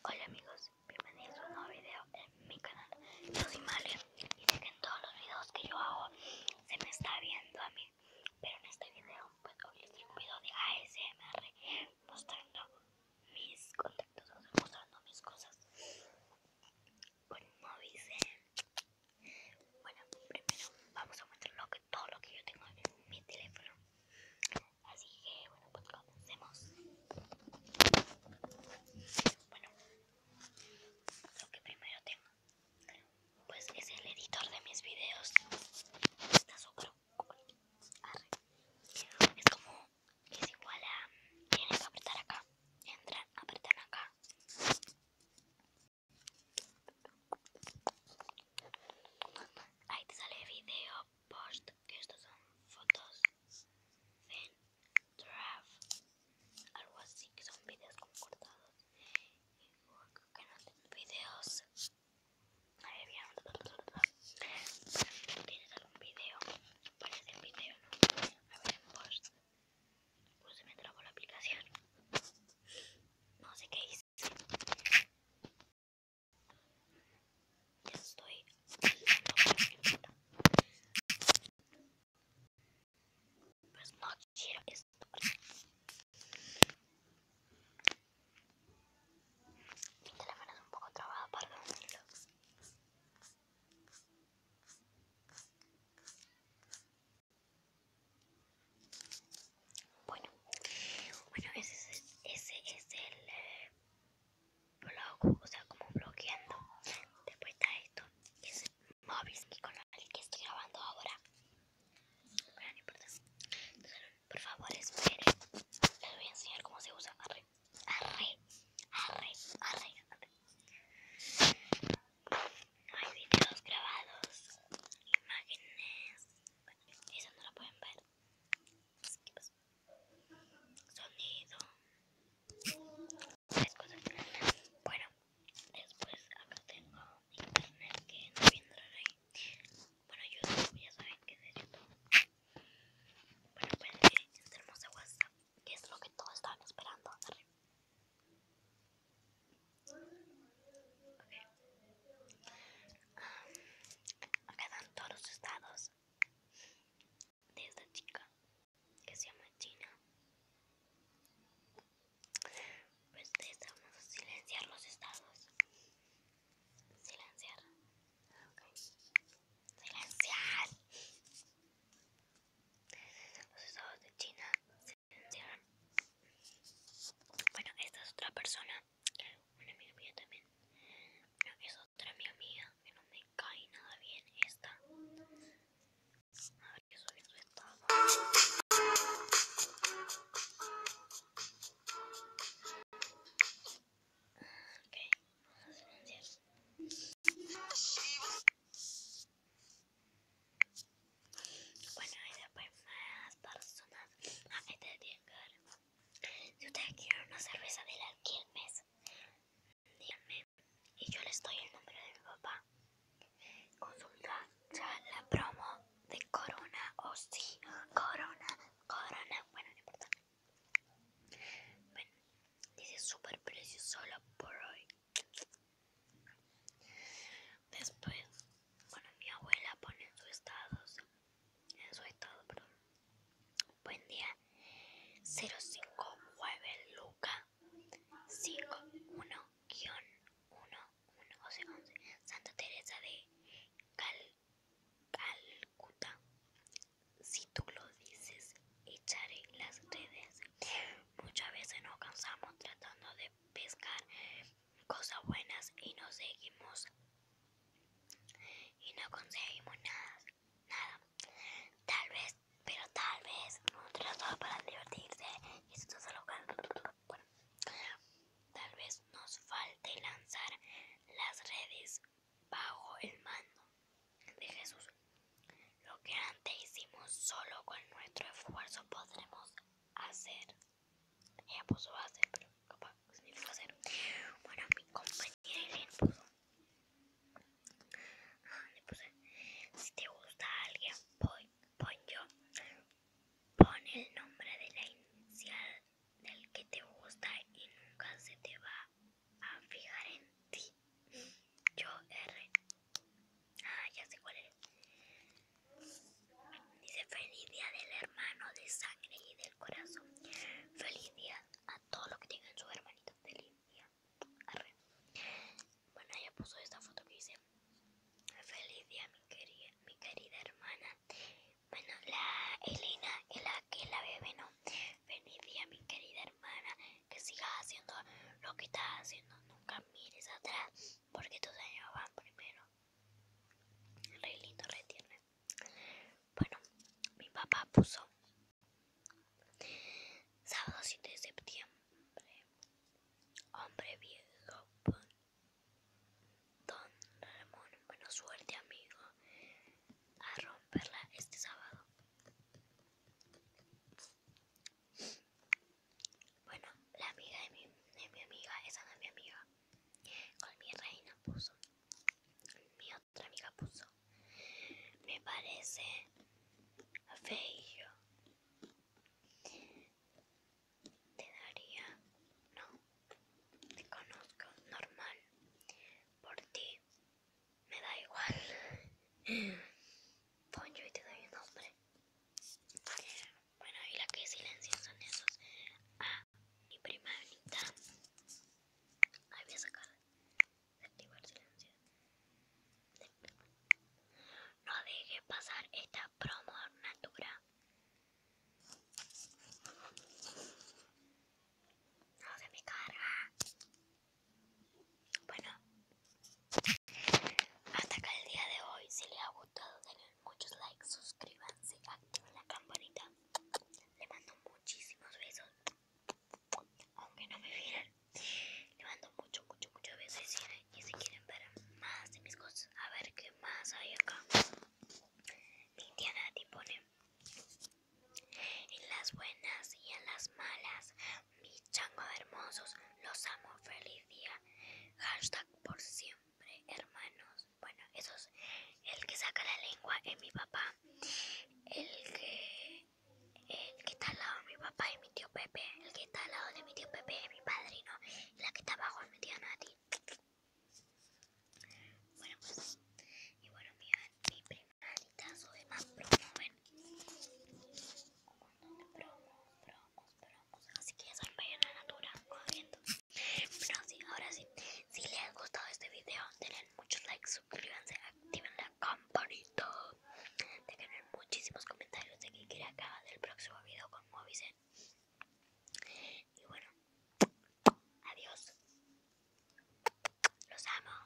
Hola amigos, bienvenidos a un nuevo video en mi canal. Yo soy y sé que en todos los videos que yo hago se me está viendo a mí. Pero en este video pues, hoy les un video de ASMR mostrando mis contactos, mostrando mis cosas. Bueno, dicen Bueno, primero vamos a mostrar todo lo que yo tengo en mi teléfono. Así que bueno, pues comencemos. Bueno, lo que primero tengo, pues es el editor de mis videos. Está super Es como, es igual a, tienes que apretar acá, entran, apretan acá. Ahí te sale el video, post, que estas son fotos, ven, draft, algo así, que son videos como cortados, y que no tengo videos, ahí bien, tienes algún video, parece el video, ¿no? a ver post, pues se me trabo la aplicación, no sé qué hice feliz. Ya estoy Pues no quiero esto. Mi teléfono es un poco trabado para los niños. Bueno, bueno ese, es, ese el eh, blog, o sea, como bloqueando. Después está esto, es el con el que estoy grabando ahora. no importa. por favor, espere Les voy a enseñar cómo se usa. Arre, arre, arre, arre. arre. hay videos grabados, imágenes esa no la pueden ver. Sonido. Bueno, después acá tengo internet que no vendrá ahí. Bueno, YouTube, ya saben que es de YouTube. Bueno, pues tenemos hermoso WhatsApp, que es lo que todos estaban esperando. Ok. acá están todos los estados de esta chica que se llama China. Pues necesitamos a silenciar los estados. Silenciar. Silenciar. Los estados de China bueno, esta es otra persona, una amiga mía también. es otra amiga mía que no me cae nada bien esta. A ver qué soy su estado. Ok, vamos a silenciar. Bueno, y después más personas a que te Si ustedes quieren una cerveza de la Quilmes, díganme. Y yo les doy el nombre de mi papá. Consulta ya la promo de Corona o si Corona, Corona. Bueno, no importa. Bueno, dice súper precio solo por hoy. Después, bueno, mi abuela pone en su estado, en su estado, perdón. Buen día, 059 Luca 51-111, Santa Teresa de Calcuta. Si tú lo dices, echaré las redes. Muchas veces nos cansamos tratando de pescar cosas buenas y no seguimos y no conseguimos nada, nada. Tal vez, pero tal vez no para divertirse y esto solo bueno, tal vez nos falte lanzar las redes bajo el mando de Jesús. Lo que antes hicimos solo con nuestro esfuerzo podremos hacer. Ella puso hacer, pero capaz Bueno, mi compañera puso. Le puse, si te gusta alguien, pon yo. Pon el nombre de la inicial del que te gusta y nunca se te va a fijar en ti. Yo R Ah, ya sé cuál es. Dice feliz día del hermano de sangre y del corazón. Feliz día a todos los que tienen su hermanito Feliz día. Bueno, ella puso esta foto que dice. Feliz día mi querida, mi querida hermana. Bueno, la Elena es la que la bebé, ¿no? Feliz día mi querida hermana. Que sigas haciendo lo que estás haciendo. Nunca mires atrás porque tus sueños van primero. Re lindo, retiene Bueno, mi papá puso sábado 7 de septiembre. Hombre viejo, don Ramón, buena suerte amigo, a romperla este sábado. Bueno, la amiga de mi, de mi amiga, esa no es mi amiga. Con mi reina puso. Mi otra amiga puso. Me parece feo. Te daría. No. Te conozco. Normal. Por ti. Me da igual. Pon yo y te doy un nombre. Bueno, y la que silencio son esos. Ah, mi prima bonita Ahí voy a sacar. Activar silencio. No dejes pasar esta promo natura. No se me carga. Bueno, hasta acá el día de hoy. Si les ha gustado, denle muchos likes, suscríbanse, activen la campanita. Le mando muchísimos besos, aunque no me vieran. Le mando mucho, mucho, muchos besos. Y si, quieren ver más de mis cosas, a ver qué más hay acá. Indiana te pone en las buenas y en las malas mis changos hermosos, los amo, feliz día. Hashtag por siempre, hermanos. Bueno, eso es el que saca la lengua es mi papá. El que, el que está al lado de mi papá es mi tío Pepe. El que está al lado de mi tío Pepe es mi padrino. Y la que está abajo es mi tía Nati. Bueno, pues. Y bueno, mi, mi primaritas o más promoven promos, promos, promos así que ya saben, en la Natura corriendo pero sí, ahora sí si les ha gustado este video denle muchos likes, suscríbanse, activen la campanita dejen muchísimos comentarios de qué quieren acá del próximo video con Movisen y bueno adiós los amo